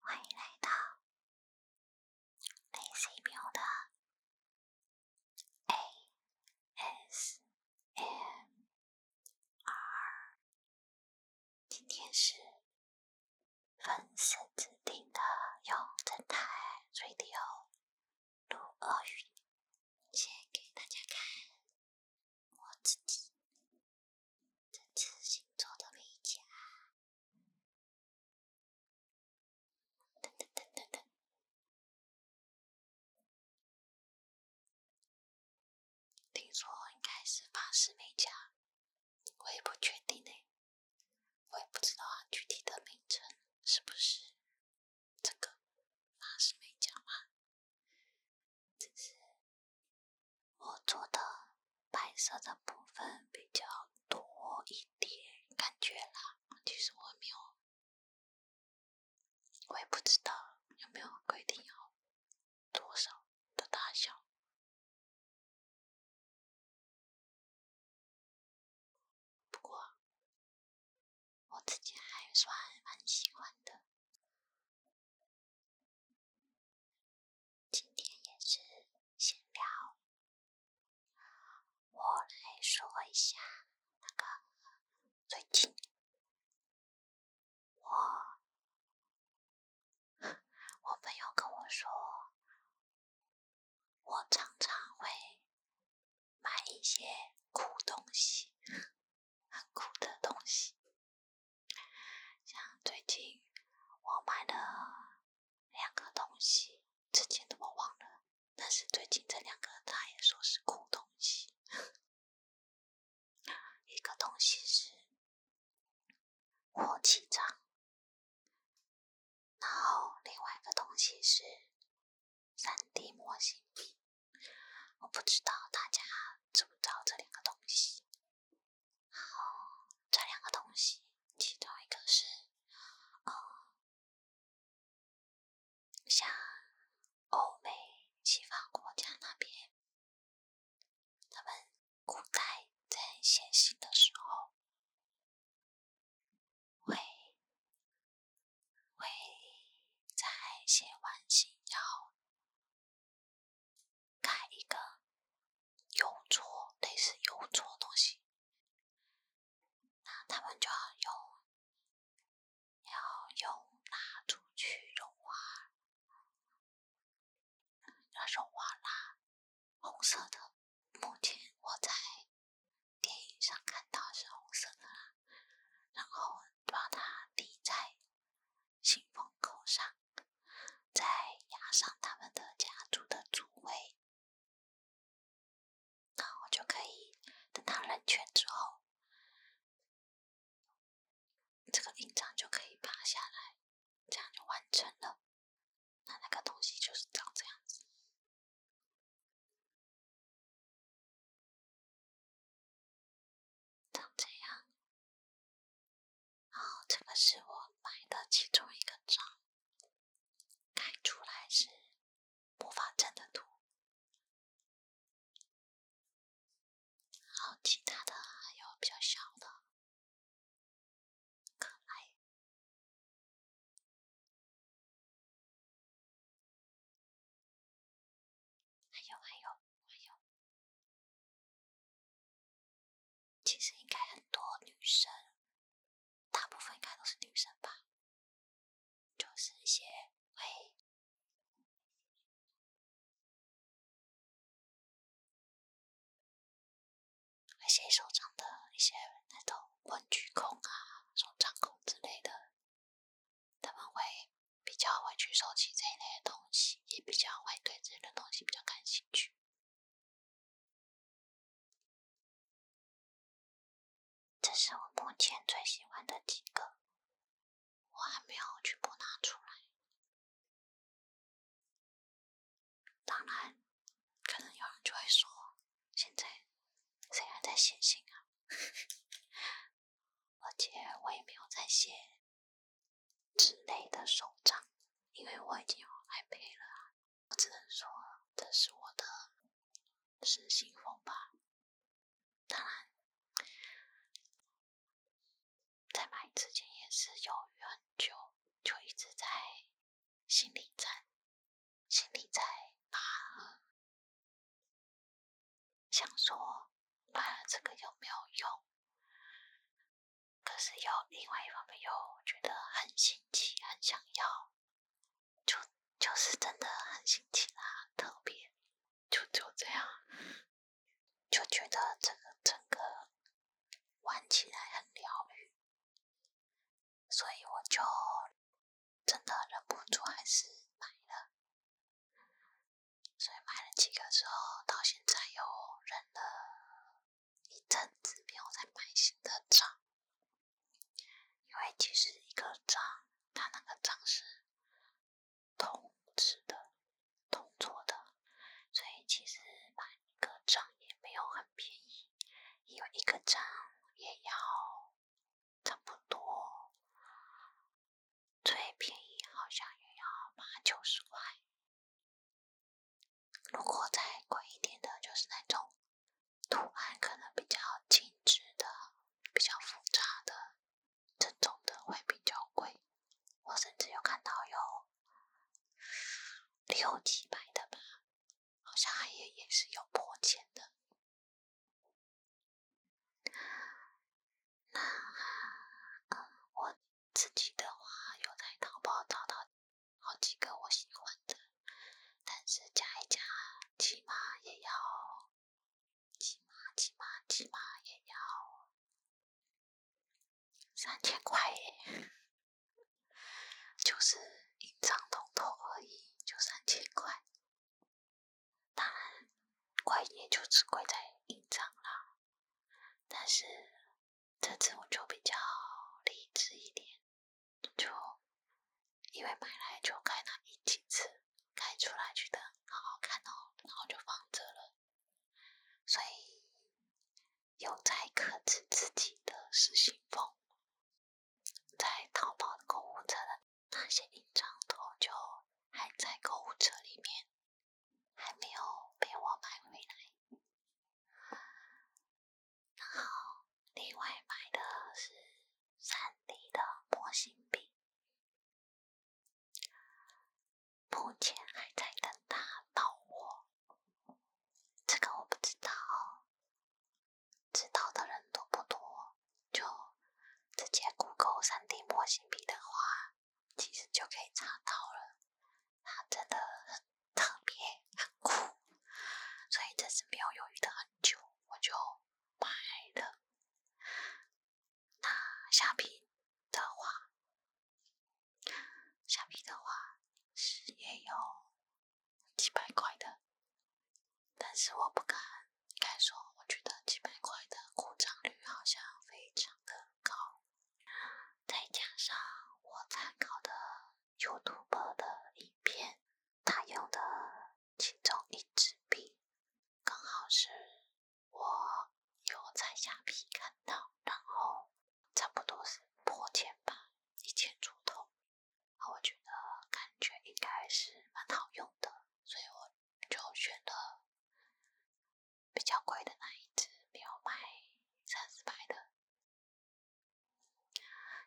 欢迎来到雷西喵的 A S M R。今天是粉丝指定的用正太 Radio 录恶语，先给大家看我自己这次新做的美甲。噔噔噔噔噔。听说应该是法式美甲，我也不确定呢。我也不知道具体的名称是不是这个法式美甲嘛？只是我做的白色的部分比较多一点，感觉啦。其实我没有，我也不知道有没有规定要。多少的大小？不过我自己还算蛮喜欢的。今天也是闲聊，我来说一下那个最近。我，我朋友跟我说，我常常会买一些苦东西，很苦的东西。像最近我买了两个东西，之前的我忘了，但是最近这两个他也说是苦东西。一个东西是火气杖，然后另外一个东西是三 D 模型笔。我不知道大家知不知道这两个东西。后这两个东西，其中一个是哦，像欧美西方国家那边。他们古代在写信的时候，会会在写完信要盖一个邮戳，类似邮戳东西，那他们就要用要用蜡烛去融化。那融化啦，红色的。目前我在电影上看到是红色的，啦，然后把它滴在信封口上，再压上他们的家族的主位，然后就可以等他冷却之后。这个印章就可以拔下来，这样就完成了。那那个东西就是长这样子，长这样。然后这个是我买的其中一个章，开出来是魔法阵的图。好，其他的还有比较小的，可爱，还有还有还有，其实应该很多女生，大部分应该都是女生吧，就是一些喂。那些手掌的一些那种文具控啊、手掌控之类的，他们会比较会去收集这一类的东西，也比较会对这类的东西比较感兴趣。这是我目前最喜欢的几个。我还没有全部拿出来。当然，可能有人就会说，现在谁还在写信啊？而且我也没有在写纸类的手账，因为我已经有 iPad 了我只能说，这是我的是心封吧。当然。在买之前也是犹豫很久，就一直在心里在心里在拿，想说买了这个有没有用？可是又另外一方面又觉得很新奇，很想要，就就是真的很新奇啦，特别就就这样。就觉得这个整个玩起来很疗愈，所以我就真的忍不住还是买了。所以买了几个之后，到现在又忍了一阵子，没有再买新的账，因为其实一个账，它那个账是。同质的、同做的，所以其实买一个章也没有很便宜，有一个章也要差不多，最便宜好像也要八九十块。如果再贵一点的，就是那种图案可能比较精致的、比较复杂的。正宗的会比较贵，我甚至有看到有六七百的吧，好像也也是有破千的。那嗯，我自己的话，有在淘宝找到好几个我喜欢的，但是加一加，起码也要，起码，起码，起码也要。三千块耶，就是印章通透而已，就三千块。当然贵也就只贵在印章啦，但是这次我就比较理智一点，就因为买来就开拿一几次，开出来觉得好好看哦，然后就放着了。所以有在克制自己的失心疯，在淘宝的购物车的那些印章头就还在购物车里面，还没有被我买回来。然后另外买的是三 D 的模型笔。目前还在等大到货，这个我不知道，知道的人多不多。就直接 Google 3D 模型笔的话，其实就可以查到了，它真的很特别，很酷，所以这次没有犹豫的很久，我就买了。那下币的话，下币的话是也有几百块的，但是我不敢，敢说我觉得几百块的故障率好像非常的高，再加上我参考的 YouTube 的影片，他用的其中一支笔刚好是。我有在下皮看到，然后差不多是破千吧，一千出头。啊，我觉得感觉应该是蛮好用的，所以我就选了比较贵的那一只，没有买三四百的。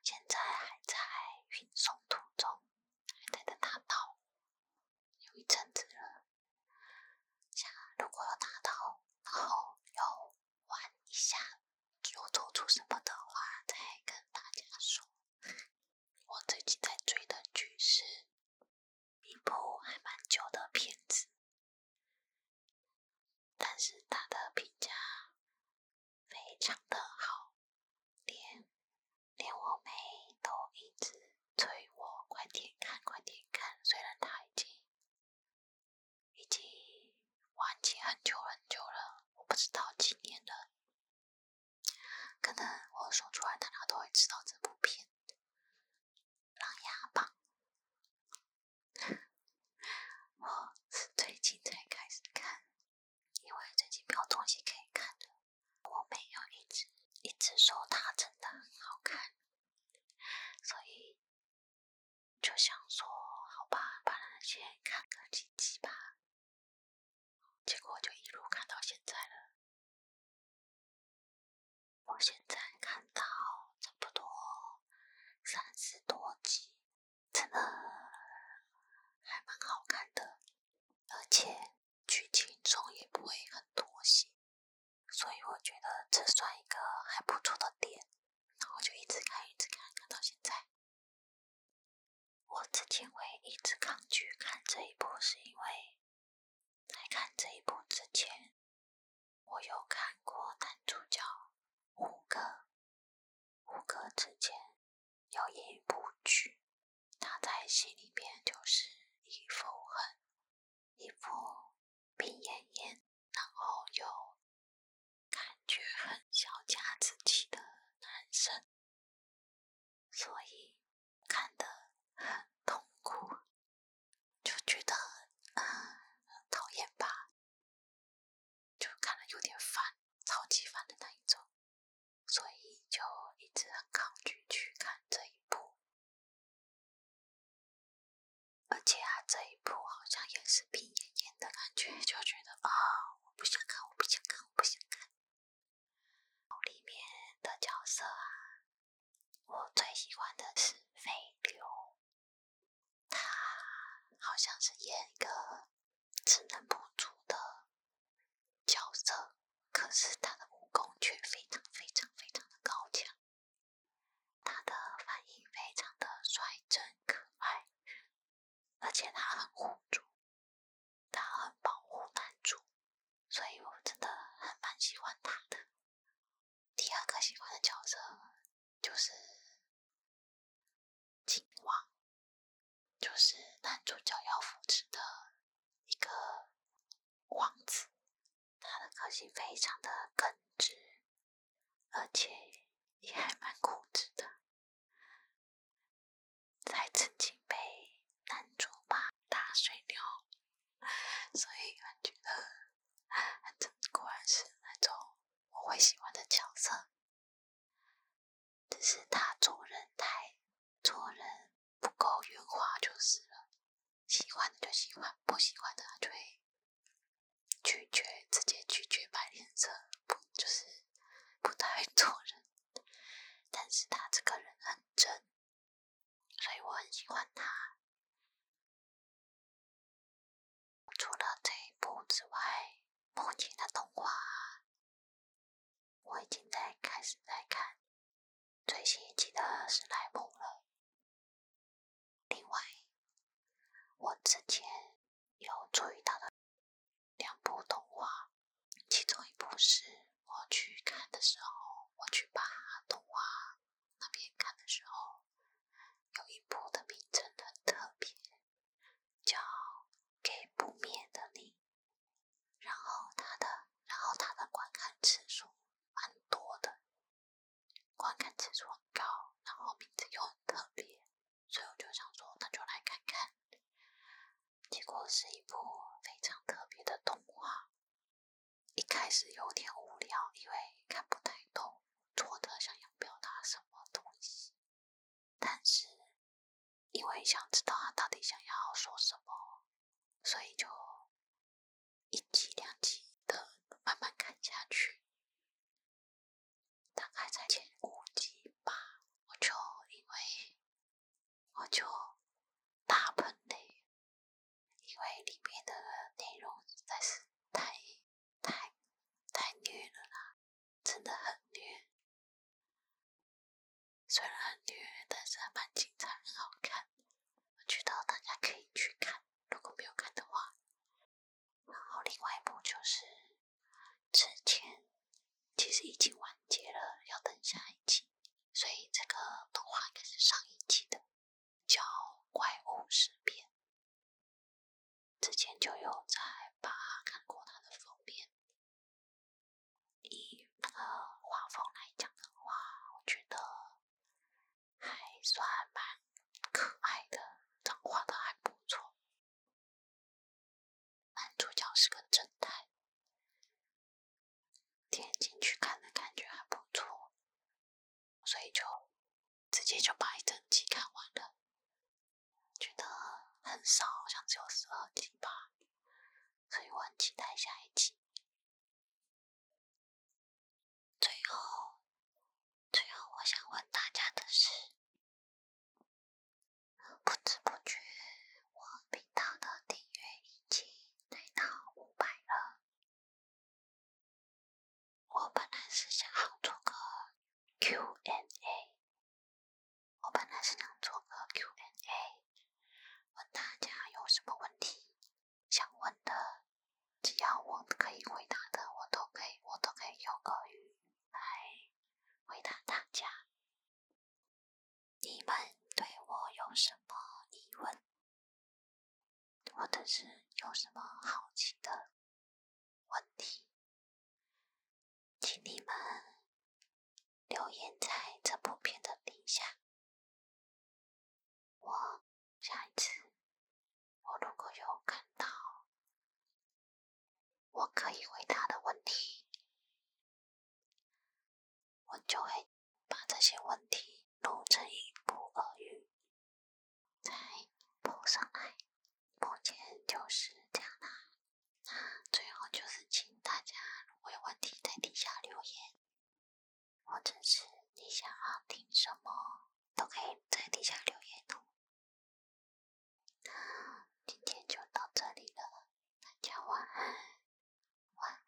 现在还在运送途中，还在等他到，有一阵子了。如果拿到，然后又玩一下，又做出什么的话，再跟大家说。我最近在追的剧是一部还蛮久的片子，但是它的评价非常的好，连连我妹都一直。催我快点看，快点看！虽然他已经已经忘记很久很久了，我不知道今年的，可能我说出来大家都会知道这部片《琅琊榜》。我是最近才开始看，因为最近没有东西可以看的。我没有一直一直说它真的很好看。所以就想说，好吧，把那些看个几集吧。结果就一路看到现在了。我现在看到差不多三十多集，真的还蛮好看的，而且剧情中也不会很多戏。所以我觉得这算一个还不错的点，然后就一直看，一直看，看到现在。我之前会一直抗拒看这一部，是因为在看这一部之前，我有看过男主角胡歌。胡歌之前有一部剧，他在戏里面就是一副很。一部病恹恹，然后又感觉很小家子气的男生，所以看得很痛苦，就觉得啊很讨厌吧，就看了有点烦，超级烦的那一种，所以就一直很抗拒去看这一部。而且啊，这一部好像也是被演演的感觉，就觉得啊，我不想看，我不想看，我不想看。里面的角色啊，我最喜欢的是飞流，他好像是演一个智能不足的角色，可是他的武功却非常非常非常的高强。他的反应非常的率真可爱，而且他很护主，他很保护男主，所以我真的很蛮喜欢他的。第二个喜欢的角色就是靖王，就是男主角要扶持的一个王子。他的个性非常的耿直，而且也还蛮固执的，在曾经被男主骂大水牛，所以感觉得安果然是那种我会喜欢的角色，只是他做人太做人。不够圆滑就是了，喜欢的就喜欢，不喜欢的就会拒绝，直接拒绝摆脸色，不就是不太做人。但是他这个人很真，所以我很喜欢他。除了这一部之外，目前的动画我已经在开始在看。最新一集的史莱姆了。另外，我之前有注意到的两部动画，其中一部是我去看的时候，我去把动画那边看的时候，有一部的名称很特别，叫《给不灭的你》。然后它的，然后它的观看次数。蛮多的，观看次数很高，然后名字又很特别，所以我就想说那就来看看。结果是一部非常特别的动画，一开始有点无聊，因为看不太懂做的想要表达什么东西，但是因为想知道他到底想要说什么，所以就。一集两集的慢慢看下去，大概在前五集吧，我就因为我就打喷嚏，因为里面的内容实在是太太太虐了啦，真的很虐。虽然虐，但是蛮精彩，很好看。我觉得大家可以去看，如果没有看的话，然后另外一部就是之前其实已经完结了，要等下一季，所以这个动画应该是上一季的，叫《怪物事变》。之前就有在吧看过他的封面，以那个画风来讲的话，我觉得。还算蛮可爱的，长画的还不错。男主角是个正太，点进去看的感觉还不错，所以就直接就把一整集看完了，觉得很少，好像只有十二集吧，所以我很期待下一集。最后，最后，我想问大家的是，不知不觉，我频道的订阅已经来到五百了。我本来是想做个 Q&A，n 我本来是想做个 Q&A，n 问大家有什么问题。想问的，只要我可以回答的，我都可以，我都可以用俄语来回答大家。你们对我有什么疑问，或者是有什么好奇的问题，请你们留言在这部片的底下。我下一次，我如果有看到，我可以回答的问题，我就会把这些问题弄成一部俄语，再播上来。目前就是这样啦。那最后就是请大家，如果有问题，在底下留言。或者是你想要听什么，都可以在底下留言。哦。今天就到这里了，大家晚安，晚安，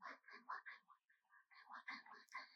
晚安，晚安，晚安，晚安，晚安，晚安，